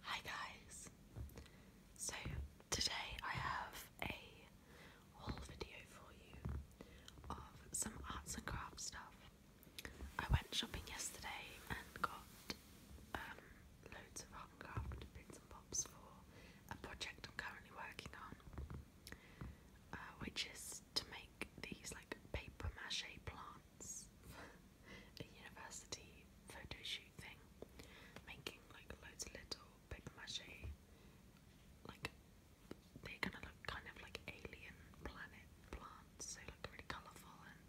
Hi guys! So today I have a haul video for you of some arts and crafts stuff. I went shopping yesterday and got um, loads of art and and pops for a project I'm currently working on, uh, which is to make these like paper mache plants. a university photo shoot thing, making like loads of little big mache, like they're gonna look kind of like alien planet plants, so like really colourful and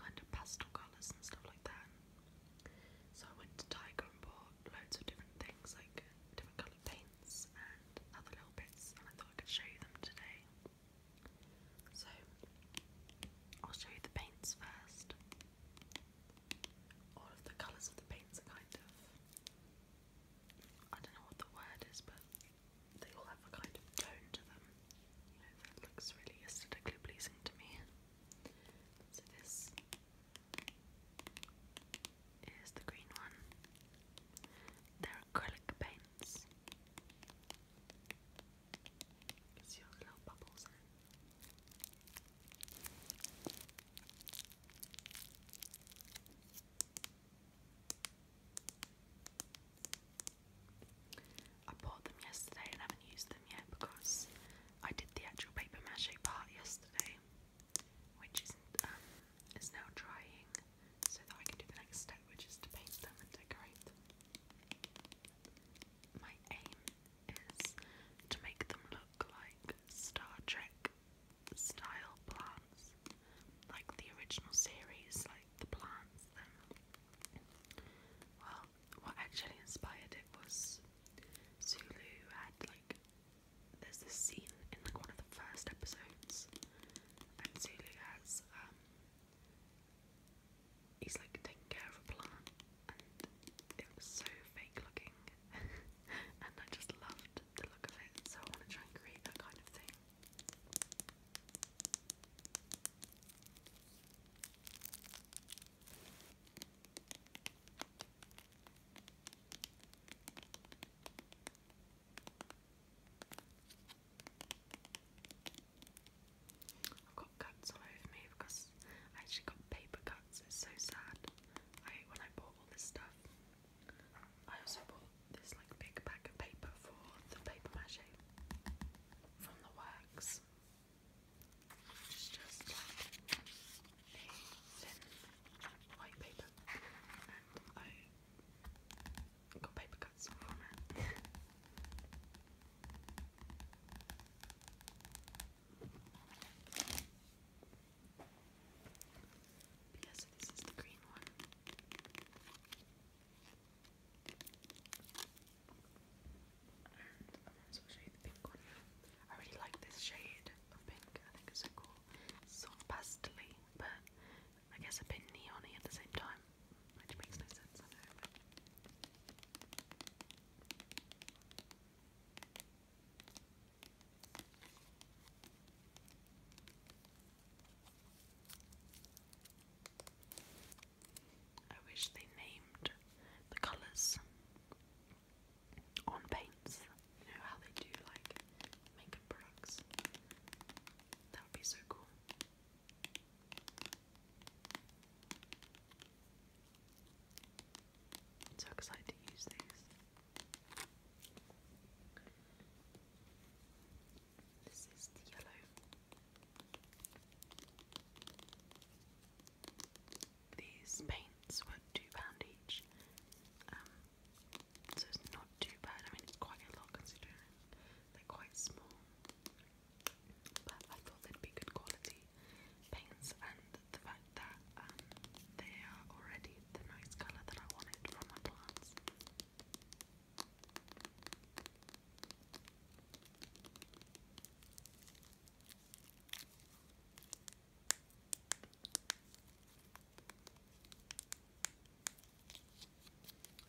kind of pastel colours and stuff like that. So I went to Tiger and bought loads of different things, like different coloured paints and other little bits, and I thought I could show you them today. So I'll show you the paints first. All of the colours of the paints are kind of I don't know what the word is, but they all have a kind of tone to them. that looks really aesthetically pleasing to me. So this is the green one. acrylic paints. I bought them yesterday and haven't used them yet because I did the actual paper mache part yesterday, which is um, is now drying, so that I can do the next step, which is to paint them and decorate my aim is to make them look like Star Trek style plants, like the original series, like the plants. well, what actually inspired it was Zulu had like there's this scene in like one of the first episodes, and Zulu has um he's like taking care of a plant, and it was so fake looking, and I just loved the look of it. So I want to try and create that kind of thing. I've got cuts all over me because I actually got paper cuts. It's so sad. I hate when I bought all this stuff. I also bought this like big pack of paper for the paper mache from the works. It's just like a thin white paper, and I got paper cuts from it. Because this is the green one. And I might show you the pink one I really like this shade of pink, I think it's so cool. It's sort but I guess a bit neon at the same time which makes no sense, I know, I wish they named the colours on paints. You know how they do like makeup products. That would be so cool. I'm so excited to use these. This is the yellow. These paints were £2 each, um, so it's not too bad. I mean, it's quite a lot considering they're quite small but I thought they'd be good quality paints, and the fact that um, they are already the nice colour that I wanted from my plants.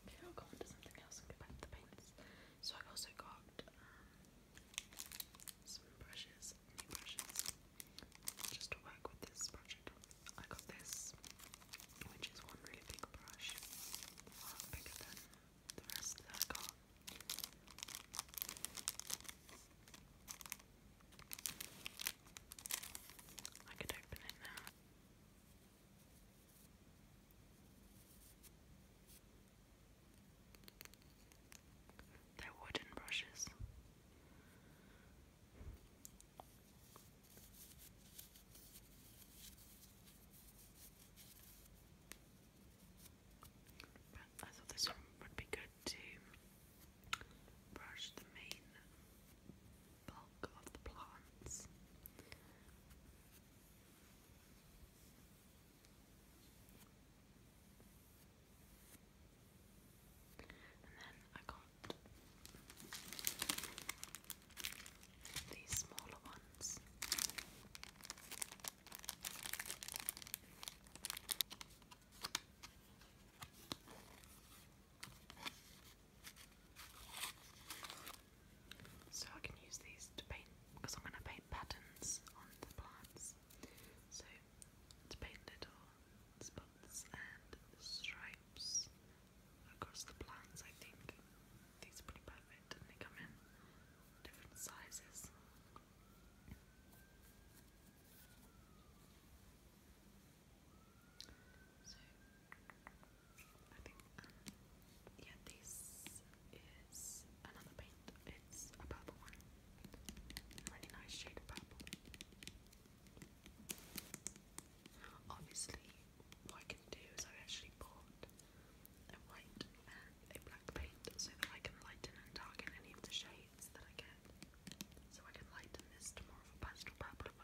Okay, I'll go on to something else and the paints. So I also got got um, some brushes, new brushes, just to work with this project. I got this, which is one really big brush, a lot bigger than the rest that I got. I could open it now. They're wooden brushes. I thought this one would be good to brush the main bulk of the plants. And then I got these smaller ones. So I can use these to paint, because I'm going to paint patterns on the plants. So to paint little spots and stripes across the plants, I think these are pretty perfect and they come in different sizes. I think, um, yeah, this is another paint. It's a purple one. really nice shade of purple. Obviously, what I can do is I actually bought a white and a black paint so that I can lighten and darken any of the shades that I get. So I can lighten this to more of a pastel purple if I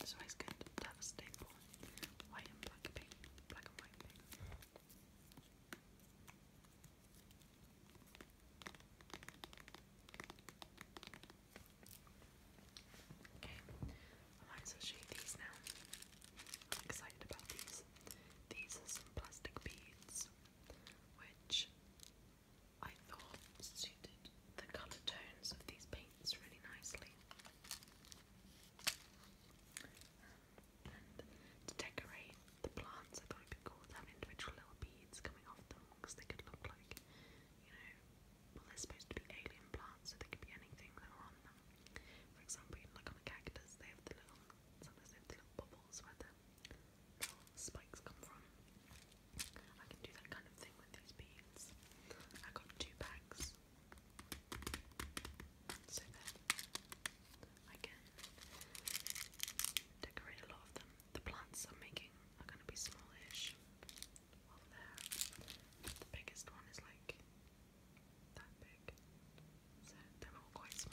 this one's good to have a staple white and black pink, black and white pink. Okay, I might as well show you these now. I'm excited about these. These are some plastic beads, which I thought suited the colour tones of these paintings lanes really nicely. And to decorate the plants, I thought it'd be cool to have individual little beads coming off them they could look like, you know, well, they're supposed to be alien plants, so they could be anything that are on them. For example, you look on a they have the little, sometimes they have little bubbles where the little spikes come from. I can do that kind of thing with these beads. I got two bags so that I can decorate a lot of them. The plants I'm making are going to be smallish the biggest one is like that big. So they're all quite small.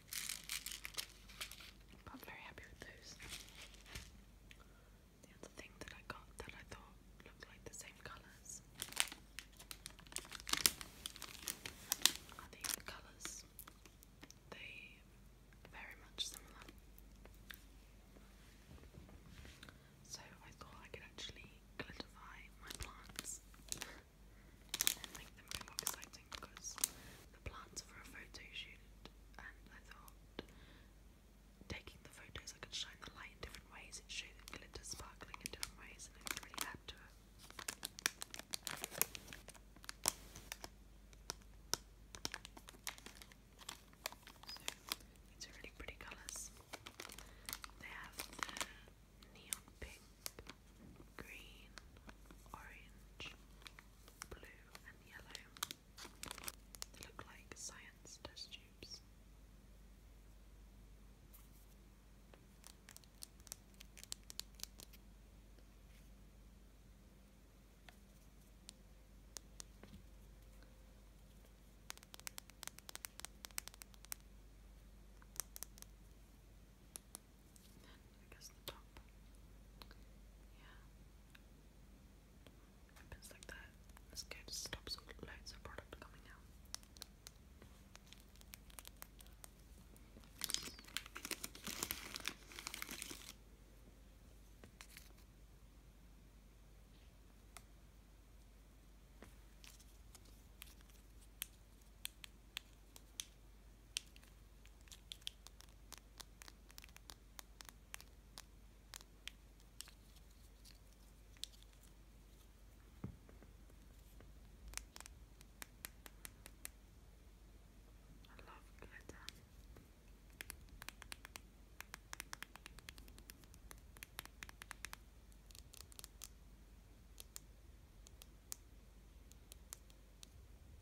I'm very happy with those. The other thing that I got that I thought looked like the same colours are these colours. They very much similar. So I thought I could actually glitterify my plants and make them look like because the plants are for a photo and I thought taking the photos I could shine the light in different ways, it show the glitter sparkling in different ways, and it really add to it. So, these really pretty colours. They have the neon pink, green, orange, blue and yellow. They look like science test tubes. And then I guess the top. Yeah. Happens like that. This guy just stops loads of product coming out. I love glitter. I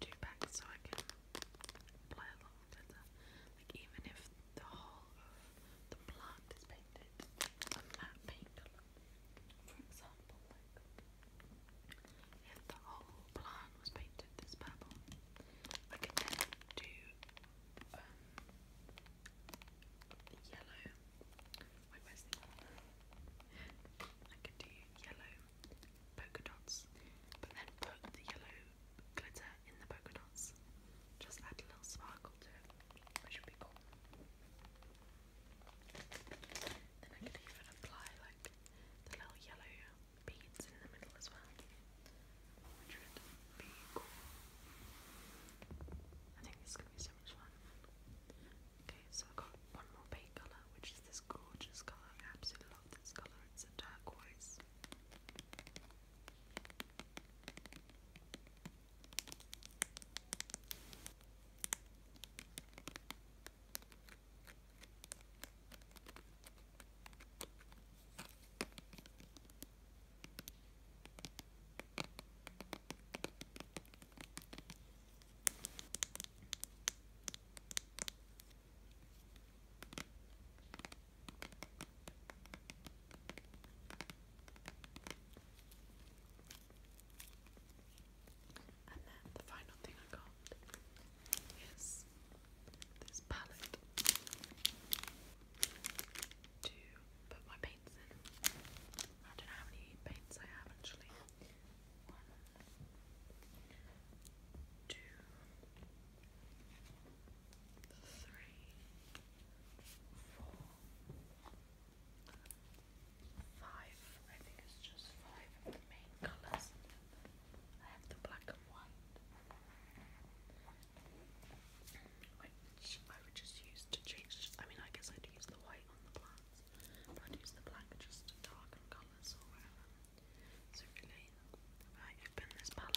two packs so I can play along better. Like even if the whole of the plant is painted on that paint For example, like if the whole plant was painted this purple, I could do um, yellow. I could do yellow polka dots, but then put the yellow glitter in the polka dots. Just add a little sparkle to it, which would be cool. Then I could even apply like the little yellow beads in the middle as well, which would be cool. I think this is gonna be so much fun. Okay, so I've got one more paint colour, which is this gorgeous colour. absolutely love this colour. It's a turquoise. And then the final thing I got is this palette to put my paints in. I don't know how many paints I have actually. One, two, three, four, five. I think it's just five of the main colours. I have the black and white, which I would just use to change. I mean, I guess I'd use the white on the plants. But use the black just to darken colours or whatever. So really, right, you've been this palette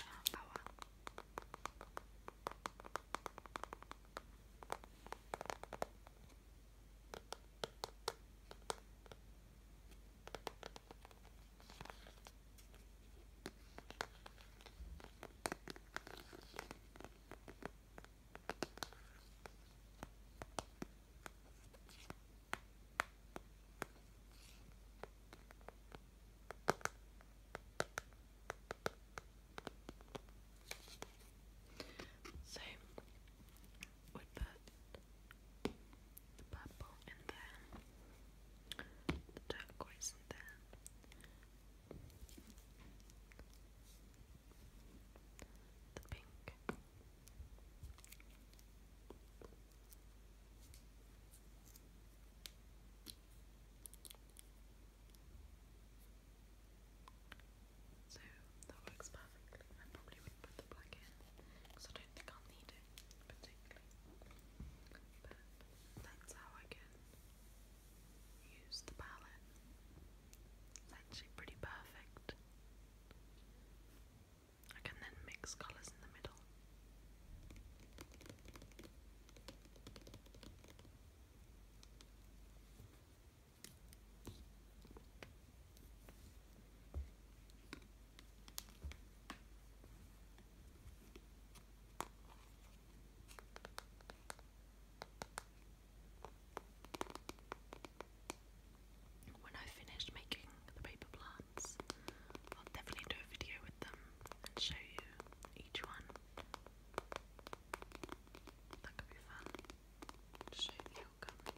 so we the purple in there, the turquoise in there, the pink. So that works perfectly. I probably would put the black in because I don't think I'll need it particularly. But that's how I can use the palette. It's actually pretty perfect. I can then mix colours in the middle. When I finish making the paper plants, I'll definitely do a video with them and show you each one. That could be fun. Show you the outcome. Okay,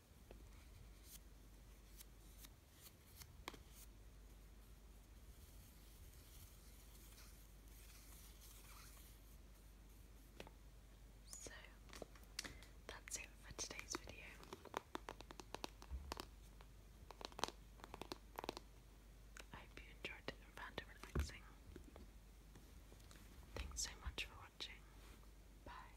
So that's it for today's video. I hope you enjoyed and found it relaxing. Thanks so much for watching. Bye.